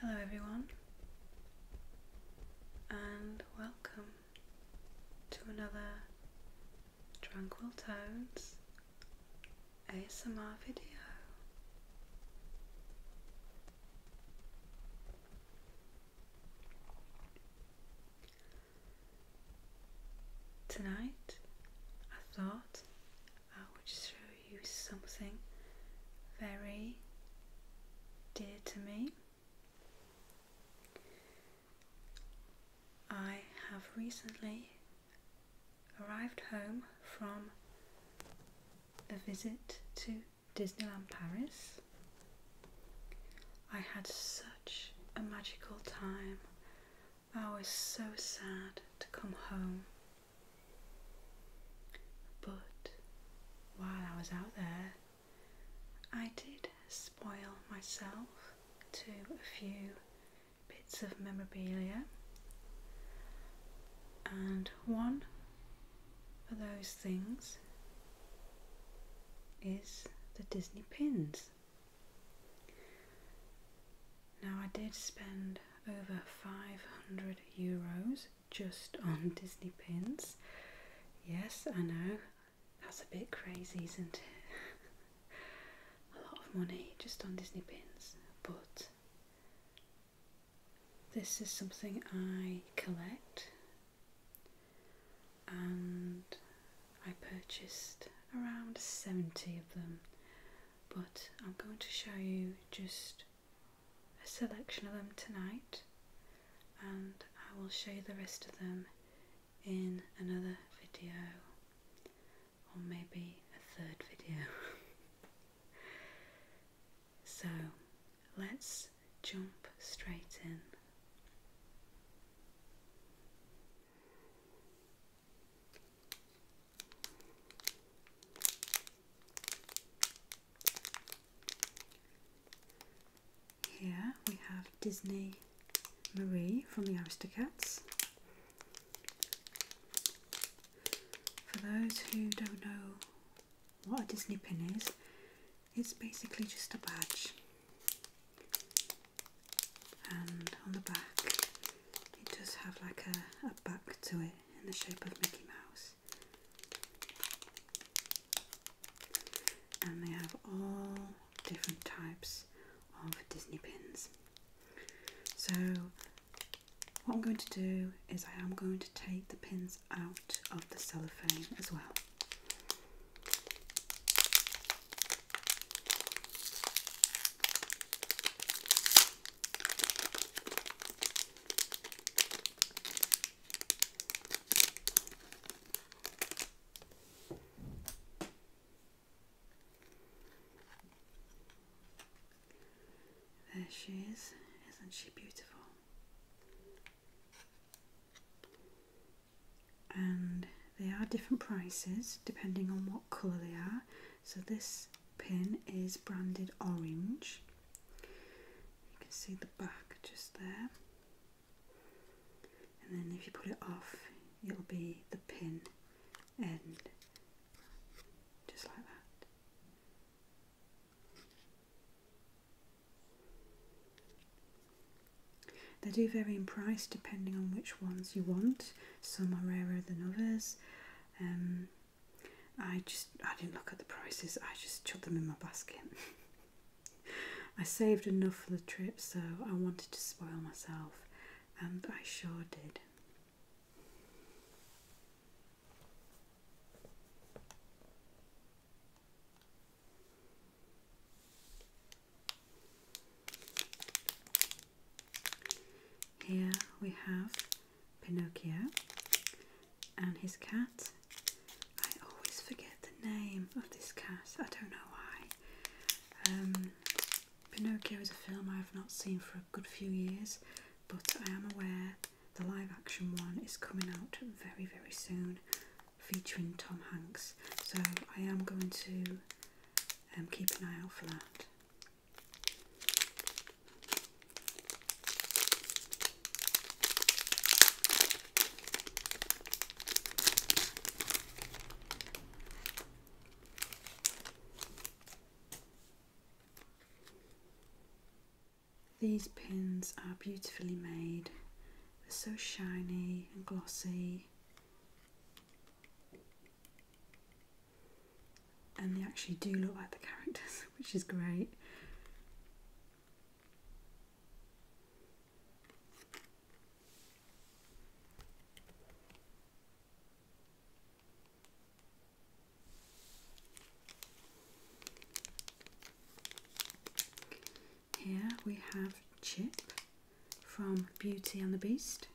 Hello, everyone, and welcome to another Tranquil Tones ASMR video. Tonight, I thought I would show you something very dear to me. I have recently arrived home from a visit to Disneyland Paris. I had such a magical time. I was so sad to come home. But while I was out there, I did spoil myself to a few bits of memorabilia and one of those things is the Disney pins. Now I did spend over 500 euros just on Disney pins. Yes, I know, that's a bit crazy, isn't it? a lot of money just on Disney pins, but this is something I collect and I purchased around 70 of them but I'm going to show you just a selection of them tonight and I will show the rest of them in another video or maybe a third video. so let's jump straight in. Here we have Disney Marie from the Aristocats for those who don't know what a Disney pin is, it's basically just a badge and on the back it does have like a, a back to it in the shape of Mickey Mouse and they have all different types of Disney pins so what I'm going to do is I am going to take the pins out of the cellophane as well. There she is. Isn't she beautiful? And they are different prices depending on what colour they are. So this pin is branded orange. You can see the back just there. And then if you put it off, it'll be the pin and Just like that. They do vary in price depending on which ones you want. Some are rarer than others. Um, I just I didn't look at the prices. I just chucked them in my basket. I saved enough for the trip, so I wanted to spoil myself, and I sure did. Here we have Pinocchio and his cat. I always forget the name of this cat, I don't know why. Um, Pinocchio is a film I have not seen for a good few years, but I am aware the live action one is coming out very, very soon featuring Tom Hanks, so I am going to um, keep an eye out for that. These pins are beautifully made. They're so shiny and glossy. And they actually do look like the characters, which is great. Here we have Chip from Beauty and the Beast.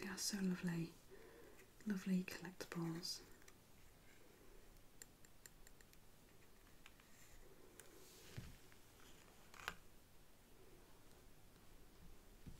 They are so lovely, lovely collectibles.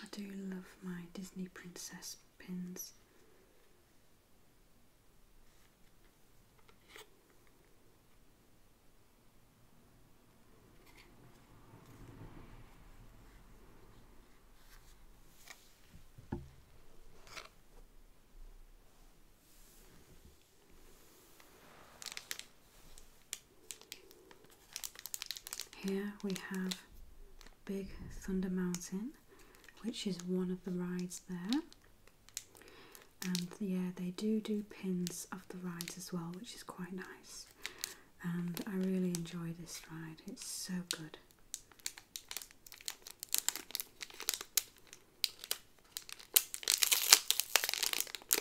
I do love my Disney princess pins. Here we have Big Thunder Mountain, which is one of the rides there. And yeah, they do do pins of the rides as well, which is quite nice. And I really enjoy this ride, it's so good. You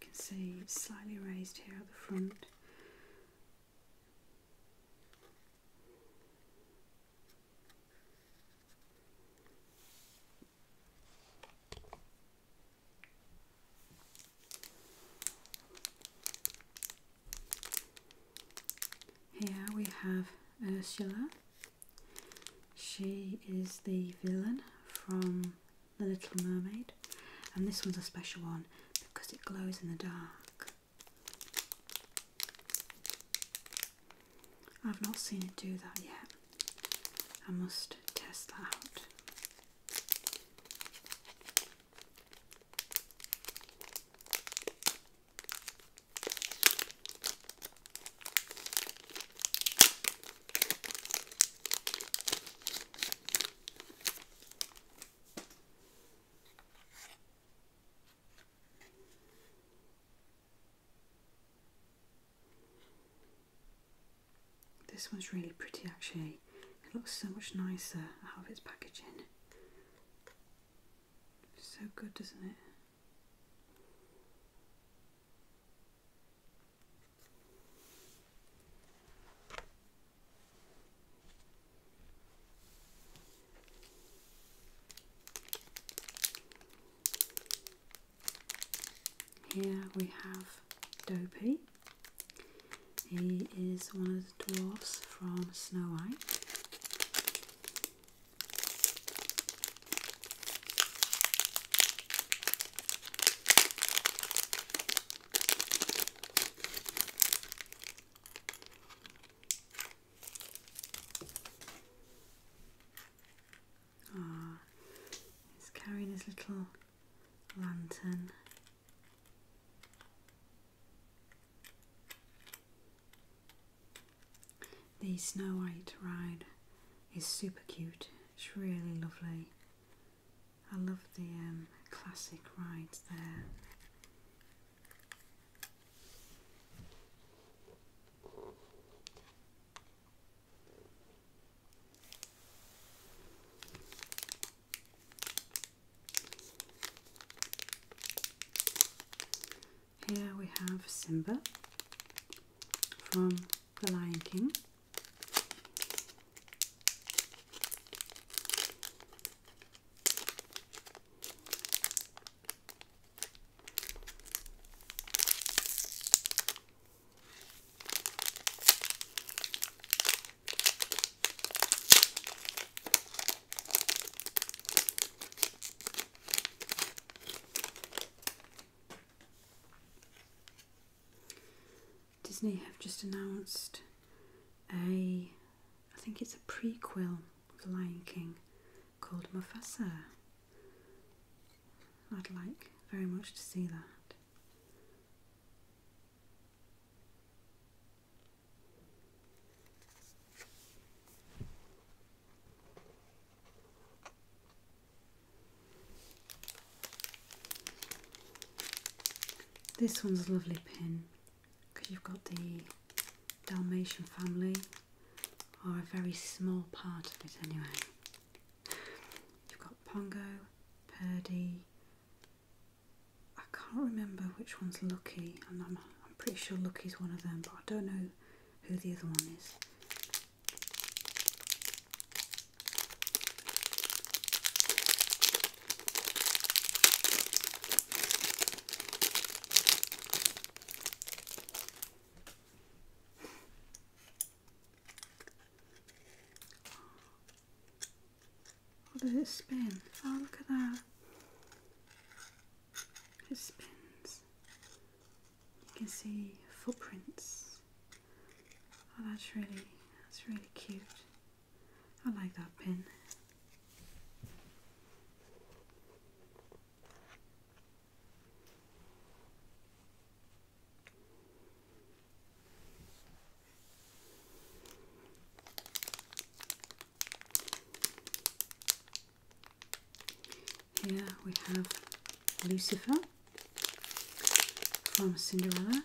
can see it's slightly raised here at the front. Here we have Ursula. She is the villain from The Little Mermaid, and this one's a special one because it glows in the dark. I've not seen it do that yet. I must test that out. This one's really pretty actually. It looks so much nicer out of its packaging. So good, doesn't it? Here we have Dopey. He is one of the dwarfs from Snow White. Ah, he's carrying his little lantern. The Snow White ride is super cute. It's really lovely. I love the um, classic rides there. Here we have Simba from The Lion King. Disney have just announced a I think it's a prequel of *The Lion King called Mufasa. I'd like very much to see that. This one's a lovely pin because you've got the Dalmatian family, or a very small part of it anyway. You've got Pongo, Purdy. I can't remember which one's Lucky. I'm, I'm pretty sure Lucky's one of them, but I don't know who the other one is. How does it spin? Oh, look at that. It spins. You can see footprints. Oh, that's really, that's really cute. I like that pin. Here we have Lucifer from Cinderella.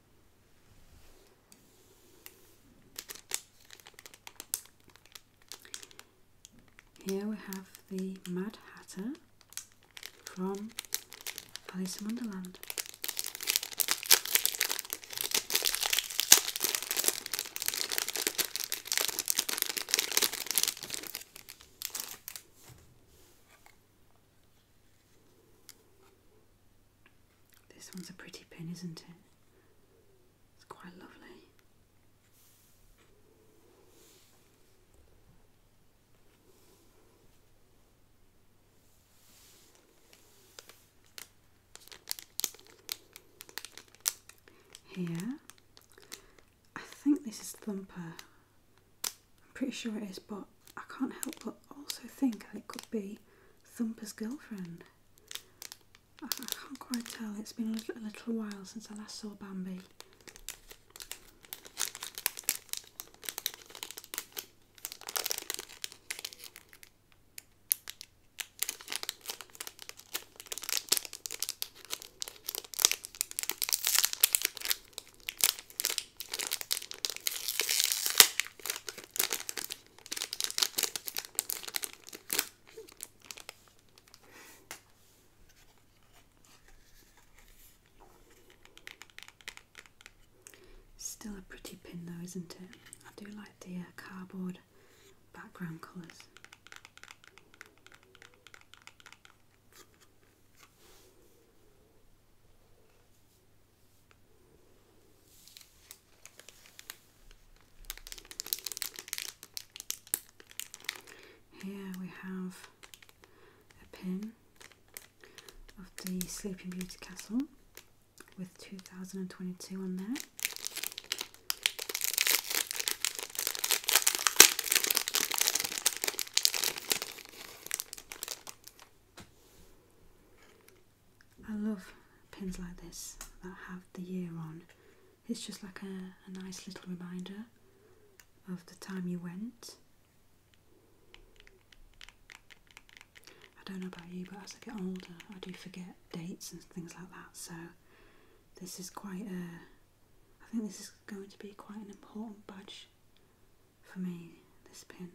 Here we have the Mad Hatter from Alice in Wonderland. This one's a pretty pin, isn't it? It's quite lovely. Here, I think this is Thumper I'm pretty sure it is, but I can't help but also think it could be Thumper's girlfriend. I, can't quite tell, it's been a little while since I last saw Bambi. Still a pretty pin though, isn't it? I do like the uh, cardboard background colours. Here we have a pin of the Sleeping Beauty Castle with 2022 on there. I love pins like this that have the year on. It's just like a, nice little reminder of the time you went. I don't know about you, but as I get older, I do forget dates and things like that. So this is quite a. I think this is going to be quite an important badge for me, this pen.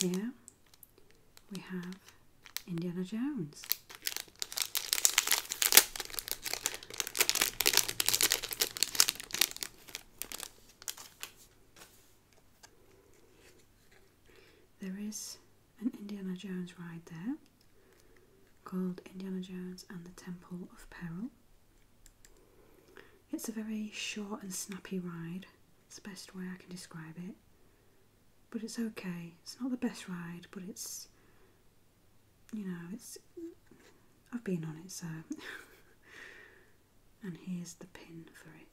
Yeah, we have Indiana Jones. There is an Indiana Jones ride there called Indiana Jones and the Temple of Peril. It's a very short and snappy ride, it's the best way I can describe it. But it's okay, it's not the best ride, but it's, you know, it's. I've been on it, so and here's the pin for it.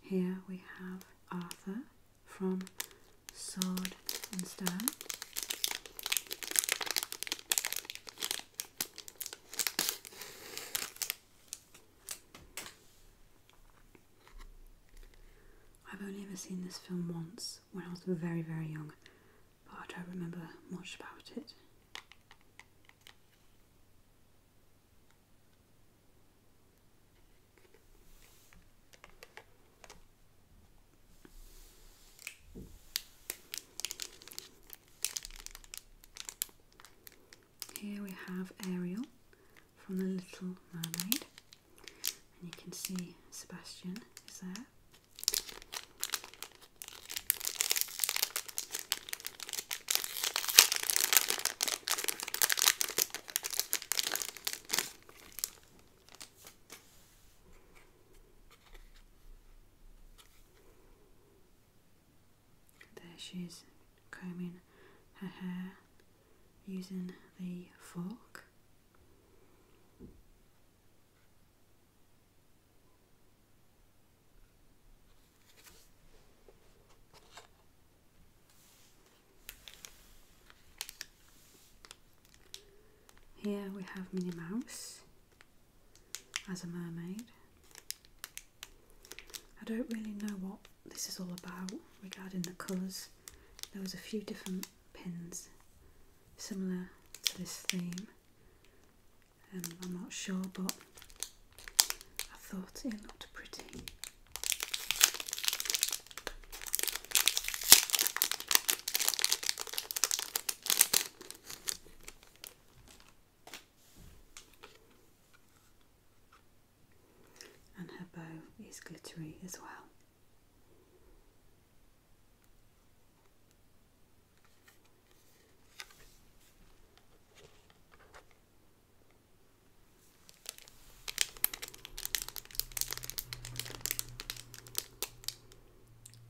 Here we have Arthur from Sword and Stone. I've only ever seen this film once when I was very, very young, but I don't remember much about it. Here we have Ariel from The Little Mermaid, and you can see Sebastian is there. There she is combing her hair using the fork. Here we have Minnie Mouse as a mermaid. I don't really know what this is all about regarding the colours. There was a few different pins similar to this theme um, I'm not sure, but I thought it looked pretty. And her bow is glittery as well.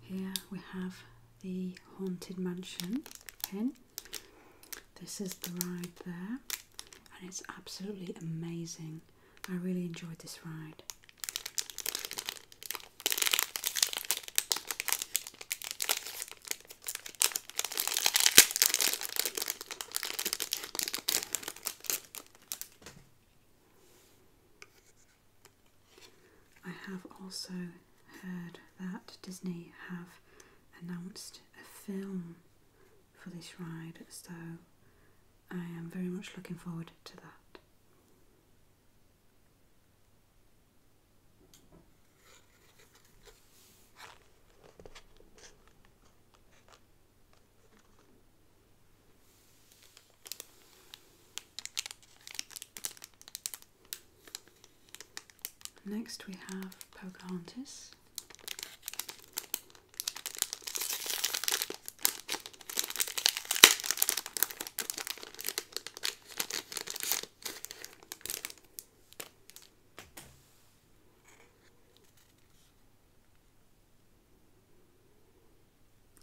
Here we have the Haunted Mansion pin. This is the ride there, and it's absolutely amazing. I really enjoyed this ride. I have also heard that Disney have announced a film for this ride, so I am very much looking forward to that. Next we have Pocahontas.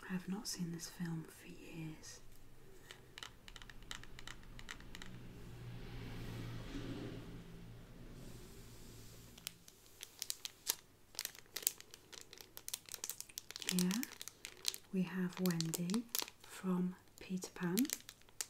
I have not seen this film for years. Here we have Wendy from Peter Pan.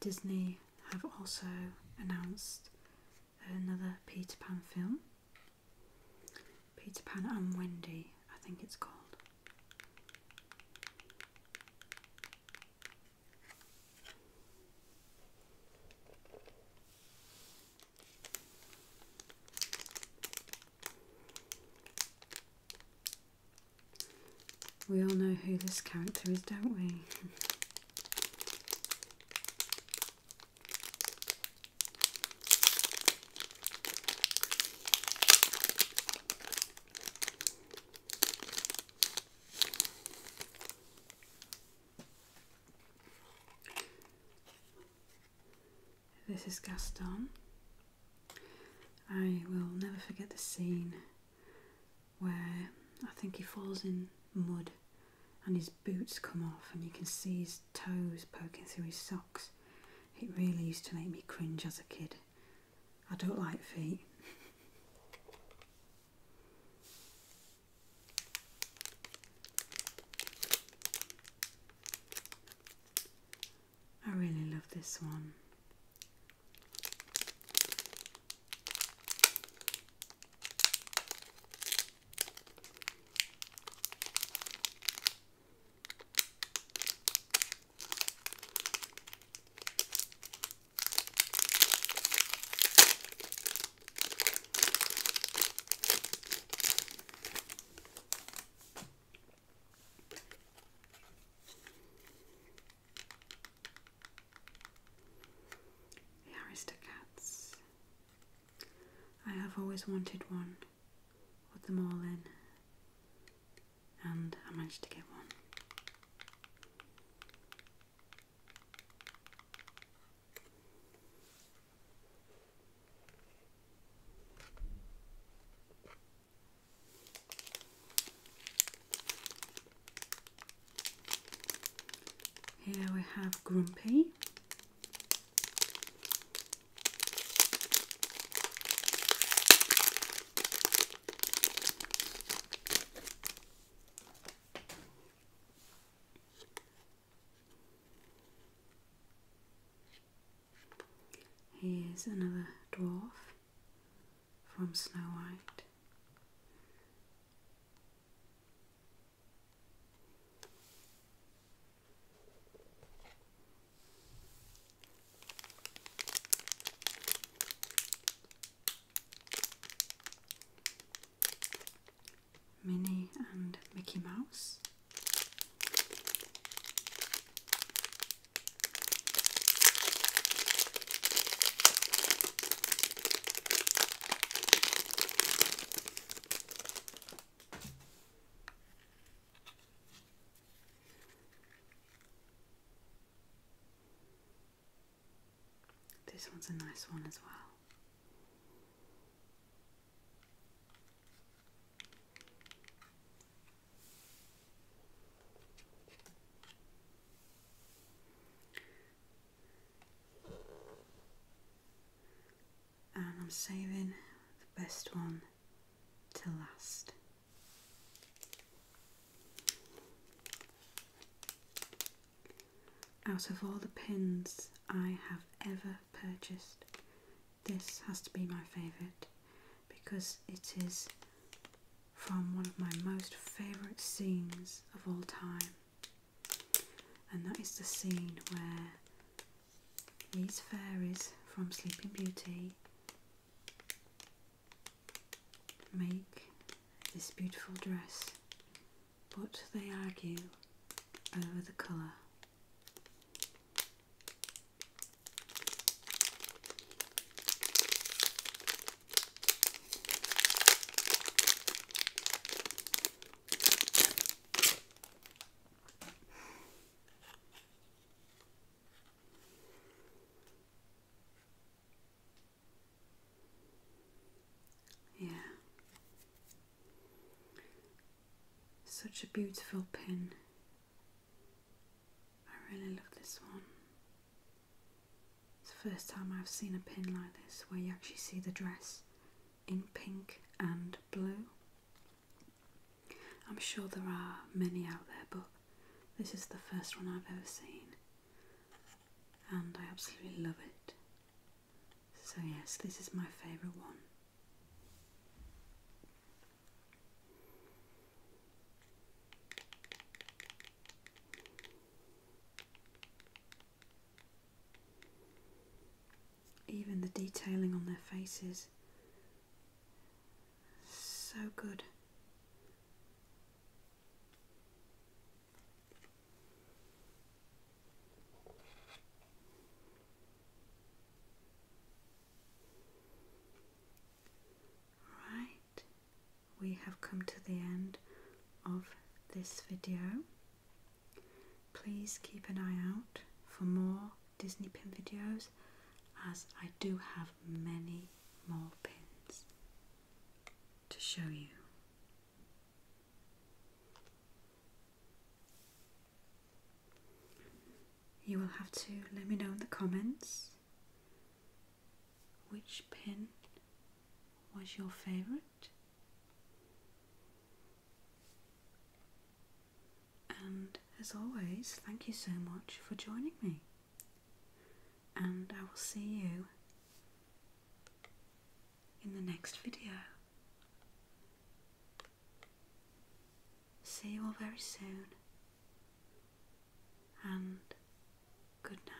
Disney have also announced another Peter Pan film. Peter Pan and Wendy, I think it's called. We all know who this character is, don't we? This is Gaston. I will never forget the scene where I think he falls in mud and his boots come off and you can see his toes poking through his socks. It really used to make me cringe as a kid. I don't like feet. I really love this one. The Aristocats. I have always wanted one. Put them all in. And I managed to get one. Here we have Grumpy. Here's another dwarf from Snow White. Minnie and Mickey Mouse. This one's a nice one as well and I'm saving the best one to last. Out of all the pins I have ever purchased, this has to be my favourite because it is from one of my most favourite scenes of all time, and that is the scene where these fairies from Sleeping Beauty make this beautiful dress, but they argue over the colour. Yeah. Such a beautiful pin. I really love this one. It's the first time I've seen a pin like this where you actually see the dress in pink and blue. I'm sure there are many out there, but this is the first one I've ever seen, and I absolutely love it. So, yes, this is my favourite one. Even the detailing on their faces, so good. Right, we have come to the end of this video. Please keep an eye out for more Disney pin videos as I do have many more pins to show you. You will have to let me know in the comments which pen was your favorite? And as always, thank you so much for joining me. And I will see you in the next video see you all very soon. And good night.